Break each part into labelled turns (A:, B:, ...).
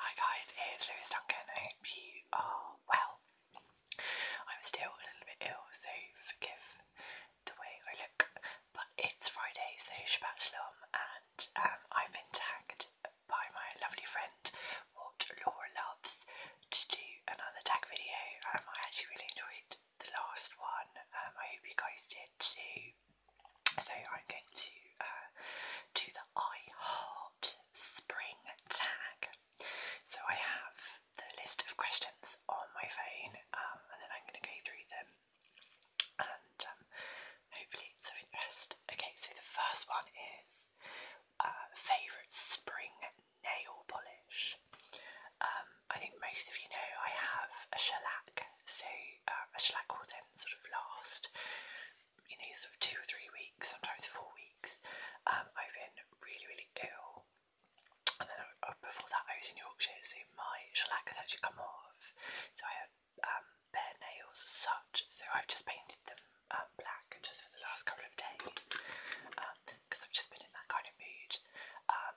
A: Hi guys, it's Lewis Duncan. hope you are well. I'm still a little bit ill, so forgive the way I look. But it's Friday, so Shabbat Shalom, and um, I've been tagged by my lovely friend, What Laura Loves, to do another tag video. Um, I actually really enjoyed the last one. Um, I hope you guys did too. So I'm going to uh, do the I Heart Spring tag. So I have the list of questions on my phone um, and then I'm going to go through them and um, hopefully it's of interest. Okay, so the first one is uh, favourite spring nail polish. Um, I think most of you know I have a shellac, so uh, a shellac will then sort of last you know, sort of two or three weeks, sometimes four weeks, um, I've been really, really ill. And then uh, uh, before that, I was in Yorkshire, so my shellac has actually come off. So I have um, bare nails such, so I've just painted them um, black just for the last couple of days because I've just been in that kind of mood.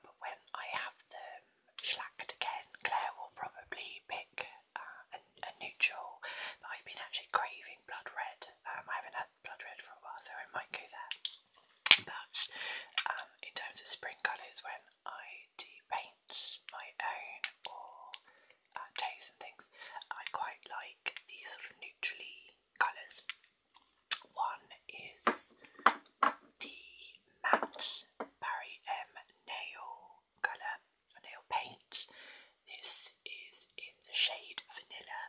A: but when I have them shellacked again, Claire will probably pick uh, a, neutral, but I've been actually craving blood red. Um, I haven't had blood red for a while, so I might go there. But um, in terms of spring colours, when I do paint my own or uh, and things, I quite like these sort of neutrally colours. One is the matte Barry M Nail colour nail paint. This is in the shade Vanilla.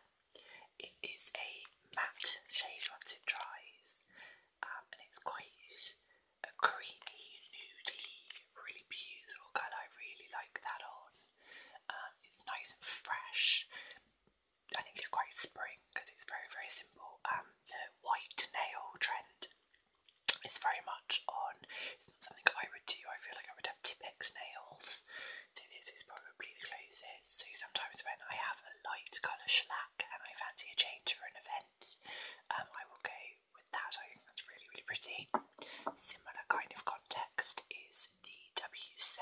A: It is a matte shade once it dries, um, and it's quite a creamy, nudey, really beautiful colour. I really like that on. Um, it's nice and fresh. I think it's quite spring because it's very, very simple. Um, the white nail trend it's very much on, it's not something I would do, I feel like I would have Tippex nails, so this is probably the closest. So sometimes when I have a light colour shellac and I fancy a change for an event, um, I will go with that, I think that's really really pretty. Similar kind of context is the W7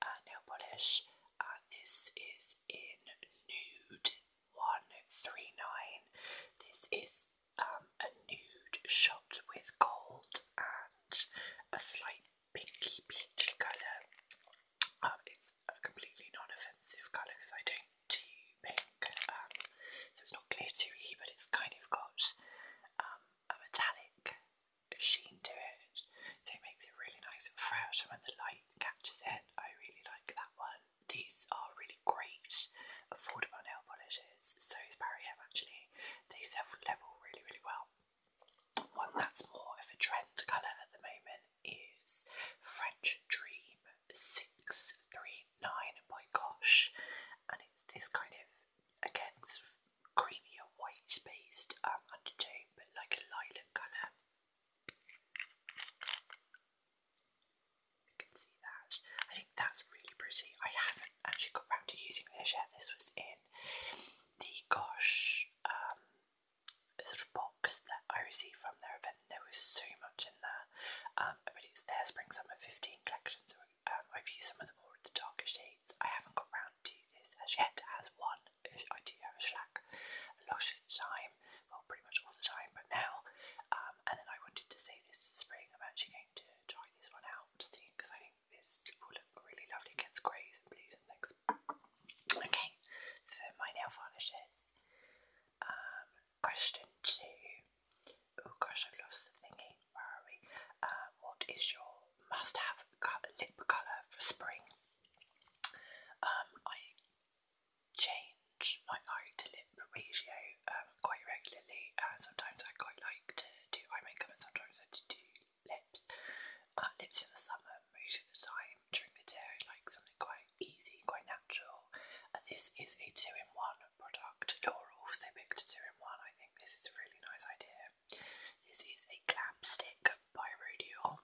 A: uh, nail polish. Uh, this is in nude this is um, a nude shot with gold and a slight pinky peachy colour. Um, it's a completely non-offensive colour because I don't do pink, um, so it's not glittery, but it's kind of got a metallic sheen to it, so it makes it really nice and fresh. And when the light catches it, I really like that one. These are really great, affordable nail polishes. So is Barry M actually. They self-level really, really well. One that's more of a trend colour at the moment is French Dream 639 by Gosh. And it's this kind of, again, sort of creamier white-based um, undertone, but like a lilac colour. You can see that. I think that's really pretty. I haven't actually got back to using this yet. This was in the Gosh um, sort of box that I received from their event. There was so much in there. Um, but their Spring Summer 15 collection, so um, I've used some of the more of the darker shades. I haven't got round to this as yet, as one. I do have a shellac a lot of the time well, pretty much all the time, but now. Um, and then I wanted to save this spring. I'm actually going to try this one out soon because I think this will look really lovely against greys and blues and things. Okay, so my nail varnishes. Um, question two. Oh gosh, I've lost the thingy. Where are we? Uh, what is your must-have lip colour for spring? Um, I change my eye to lip ratio um, quite regularly. and uh, sometimes I quite like to do eye makeup and sometimes I do lips. Uh, lips in the summer most of the time. During the day I like something quite easy, quite natural. Uh, this is a two-in-one product. Laura also picked two-in-one. I think this is a really nice idea. This is a clamp stick by Rodion.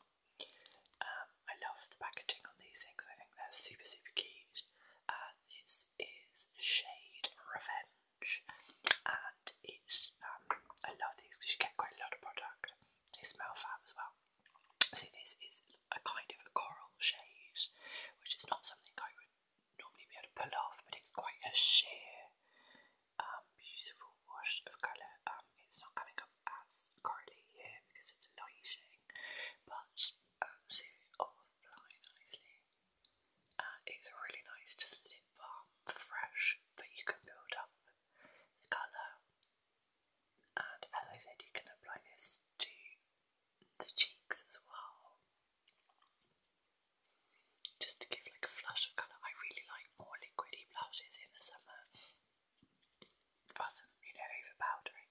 A: Um, I love the packaging on these things. I think they're super, super cute. Uh, this is Shade Revenge, and it's um, I love these because you get quite a lot of product. They smell fab as well. So this is a kind of a coral shade, which is not something I would normally be able to pull off, but it's quite a sheer, um, beautiful wash of colour. Um, it's not coming up as corally here because of the lighting but um, Ozu all fly nicely. Uh, it's really nice, just lip balm, fresh, but you can build up the colour. And as I said, you can apply this to the cheeks as well, just to give like a flush of colour. I really like more liquidy blushes in the summer rather than, you overpowdering.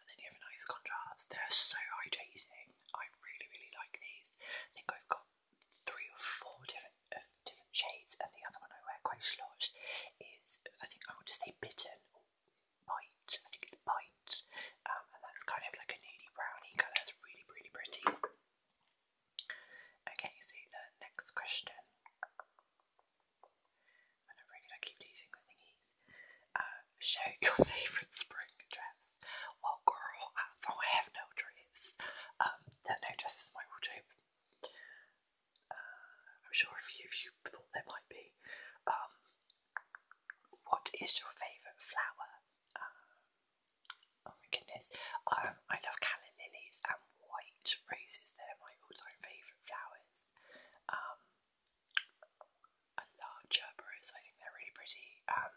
A: And then you have a nice contrast. They're so hydrating. I really, really like these. I think I've got three or four different uh, different shades, and the other one I wear quite a lot is, I think I want to say Bitten or Bite. I think it's Bite, um, and that's kind of like a nudie brownie colour. It's really, really pretty. Okay, so the next question. I don't really like keep losing the thingies. Uh, show your favourite spring dress. Well, girl, I, oh, I have no dress. Um, no dress is my wardrobe. Uh, I'm sure a few of you thought there might be. Um, what is your favourite flower? Uh, oh my goodness. Um, I love calla lilies white roses. They're my all-time favourite flowers. Um, I love gerberas. I think they're really pretty. Um,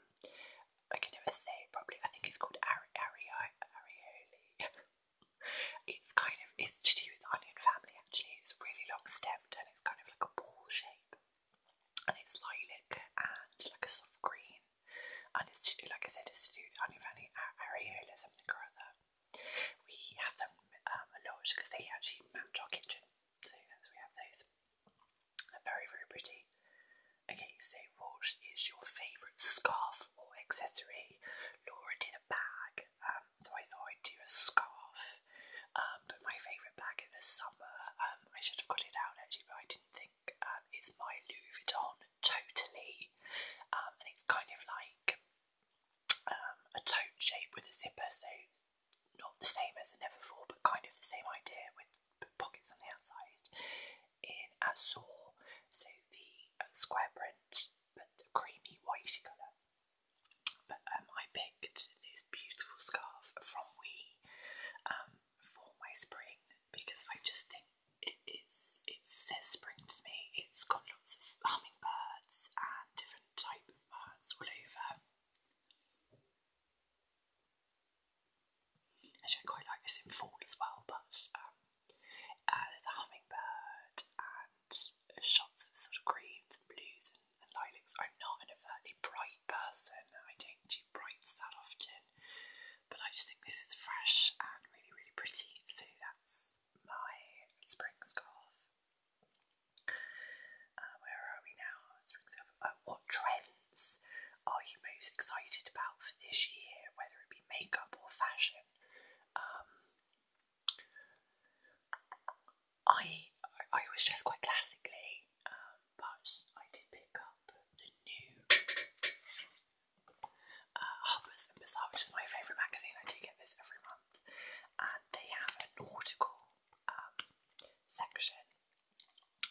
A: I can never say it properly. I think it's called ari it's kind of it's to do with onion family actually. It's really long stemmed and it's kind of like a ball shape. And it's lilac and like a soft green. And it's like I said, it's to do with onion family areola something or other. We have them um, a lot because they actually match our kitchen. So yes, we have those. very, very pretty. Okay, so what is your favourite scarf or accessory? Laura did a bag, um, so I thought I'd do a scarf. Um, but my favourite bag in the summer, um, I should have got it out actually, but I didn't think, um, is my Louis Vuitton Totally. Um, and it's kind of like um, a tote shape with a zipper, so not the same as the Neverfull, but kind of the same idea with pockets on the outside in saw, so the uh, square print, but the creamy whitish colour. But um, I picked this beautiful scarf from We um, for my spring because I just think it is it says spring to me. It's got lots of hummingbirds and different type of birds all over. I should quite like this in fall as well, but um, uh, there's a hummingbird and shots of sort of greens and blues and, lilacs. I'm not an overtly bright person. I don't do brights that often, but I just think this is fresh and really, really pretty. So that's my spring scarf. Uh, where are we now? Spring scarf. Uh, what trends are you most excited about for this year, whether it be makeup or fashion? Um, I I was dressed quite classically, um, but I did pick up the new Harper's uh, Bazaar, which is my favourite magazine. I do get this every month, and they have a nautical um, section,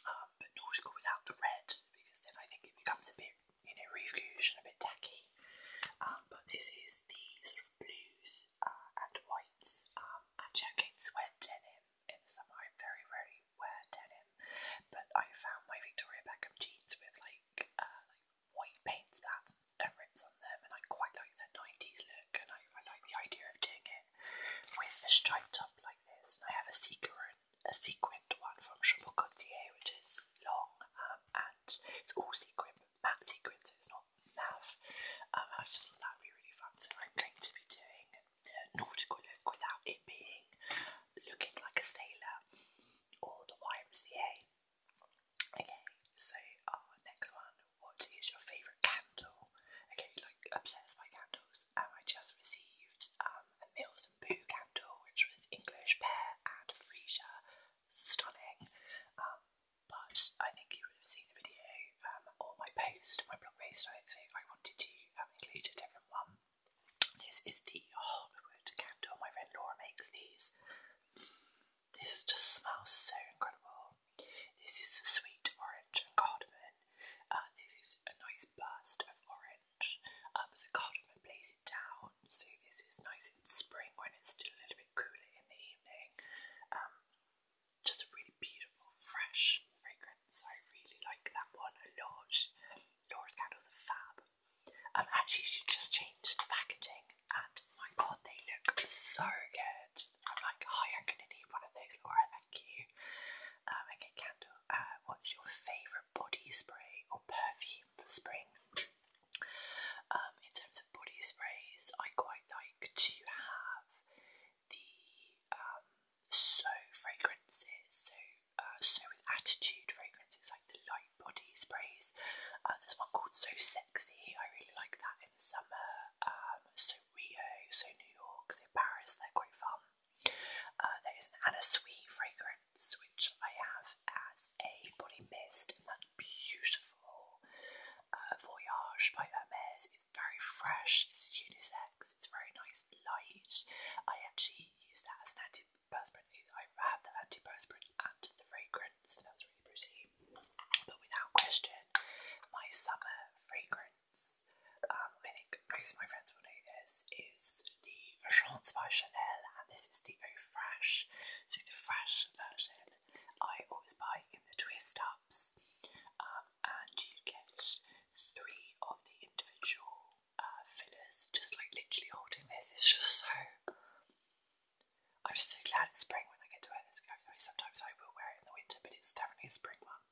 A: um, but nautical without the red because then I think it becomes a bit, you know, rouge and a bit tacky. Um, but this is the sort of blues uh, and whites. Um, actually, I denim in the summer. I very rarely wear denim, but I found my Victoria Beckham jeans with like uh, white paints that and rips on them, and I quite like that 90s look, and I, like the idea of doing it with a striped top like this. I have a sequin, a sequined one from Chapeau Cotier, which is long um, and it's all sequin, matte sequin, so it's not nav. Um, I just thought that would be really fun, so I'm going to be doing a nautical look without it being looking like a sailor or the YMCA. Okay, so our next one. What is your favourite candle? Okay, like obsessed by candles. And um, I just received um, a Mills and Boo candle, which was English pear and freesia, stunning. Um, but I think you would have seen the video um, or my post, my blog post on it, so I wanted to um, include a different one. This is the hardwood candle. My friend Laura makes these. This just smells so incredible. This is sweet orange and cardamom. Uh, this is a nice burst of orange, uh, but the cardamom plays it down. So this is nice in spring when it's still a little bit cooler in the evening. Um, just a really beautiful, fresh fragrance. I really like that one a lot. Laura's candles are fab. Um, actually, she just changed the packaging, and my god, they look so good. I'm like, oh, I'm gonna need one of those, Laura. Thank you. okay, um, Candle, uh, what's your favourite body spray or perfume for spring? Um, in terms of body sprays, I quite like to have the um, so fragrances, so uh, so With Attitude fragrances like the light body sprays. Uh, there's one called So Sexy, I really like that in the summer. Um, so Rio, So New York, So Paris, they're quite fun. Uh, there is an Anna Sui fragrance which I have as a body mist, and that's beautiful. Voyage by Hermes is very fresh, it's unisex, it's very nice light. I actually use that as an anti antiperspirant. I have the antiperspirant and the fragrance, and that's really pretty. But without question, my summer fragrance, um, I think most of my friends will know this, is the Chance by Chanel, and this is the Eau Fresh, so the fresh version. I always buy in the twist ups, um, and you get three of the individual uh, fillers, just like literally holding this is just so. I'm just so glad it's spring when I get to wear this. Sometimes I will wear it in the winter, but it's definitely a spring one.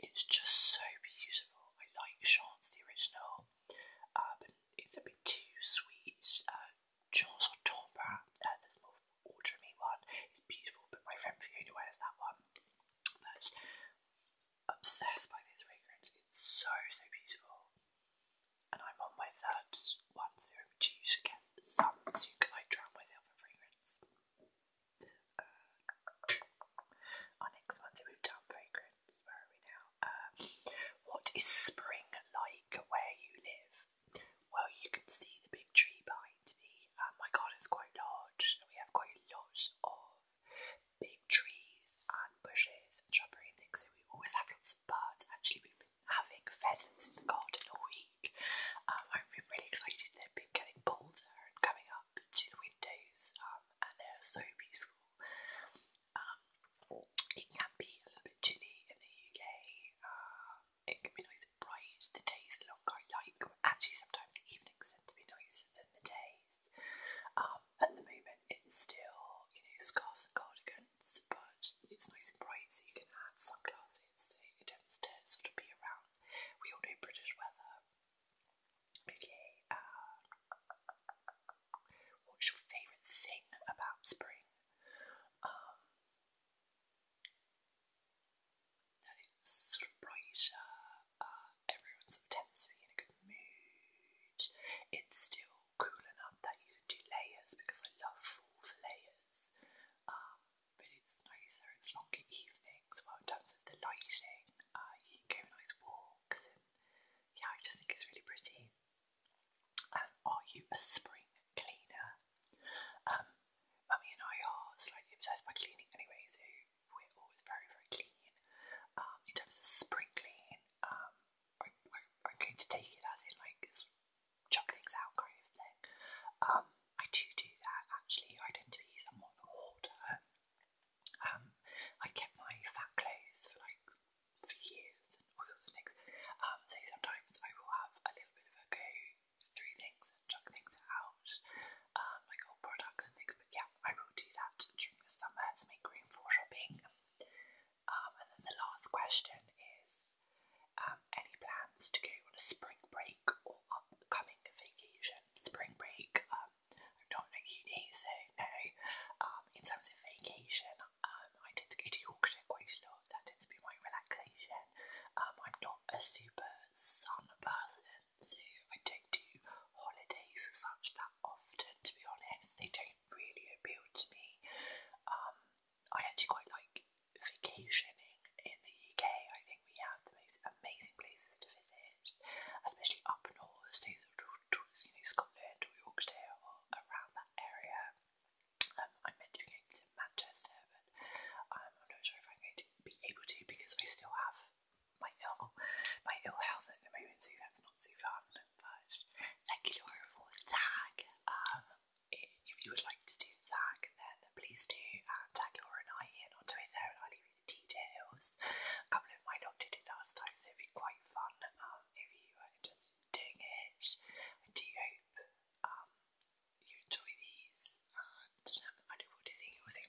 A: It's just so beautiful. I like Sean's, the original, uh, but it's a bit too sweet. Uh, Jean's or Tomba, uh, uh, there's more autumny one. It's beautiful, but my friend Fiona wears that one obsessed by this fragrance. It's so, so beautiful. And I'm on my third one, so I'm due to get some soon because I drown myself in fragrance. Uh, our next one, so we fragrance. Where are we now? Uh, what is spring like where you live? Well, you can see the big tree behind me. Um, my garden's quite large, and we have quite a lot of big trees and bushes and shrubbery and things, so we always have lots of birds. Actually, we've been having pheasants in the garden all week. Um, I've been really excited, they've been getting bolder and coming up to the windows, um, and they're so beautiful. Um, it can be a little bit chilly in the UK, um, it can be nice and bright, the days are longer, I like, actually sometimes the evenings tend to be nicer than the day, um, at the moment, it's still you know scarves and cardigans, but it's nice and bright, so you can add sunglasses. So it tends to sort of be around. We all know British weather. Okay. Uh, what's your favourite thing about spring? Um, that it's sort of brighter, uh, everyone's sort to be in a good mood. It's still cool enough that you can do layers because I love full layers. Um, but it's nicer, it's longer evenings. Well, in terms of the lighting, uh, you can go nice walks, yeah, I just think it's really pretty. And are you a spring cleaner? Um, Mummy and I are slightly obsessed by cleaning anyway, so we're always very, very clean. Um, in terms of sprinkling, um, I, am going to take it as in like chuck things out kind of thing. Um, I do do that actually. I tend to be somewhat of a hoarder. Um, I keep my fat clothes for like for years and all sorts of things. Um, so sometimes I will have a little bit of a go through things and chuck things out, um, like old products and things. But yeah, I will do that during the summer to make room for shopping. Um, and then the last question is um, any plans to go on a spring break or upcoming vacation? Spring break, um, I'm not at uni, no. in terms of vacation, I tend to go to Yorkshire quite a lot. That tends to be my relaxation. I'm not a super sun person. So I don't do holidays such that often, to be honest. They don't really appeal to me. Um, I actually quite like vacationing in the UK. I think we have the most amazing places to visit, especially up north, so towards you know Scotland or Yorkshire or around that area. Um, I'm meant going to Manchester, but um, I'm not sure if I'm going to be able to because I still have my ill my ill health at the moment, so that's not so fun. But thank you Laura for tag. Um if you would like to do tag then please do uh, tag Laura and I in on Twitter and I'll leave you the details. A couple of mine lot did it last time so it'd be quite fun um, if you are interested doing it. I do hope um, you enjoy these and um, I know what do you think also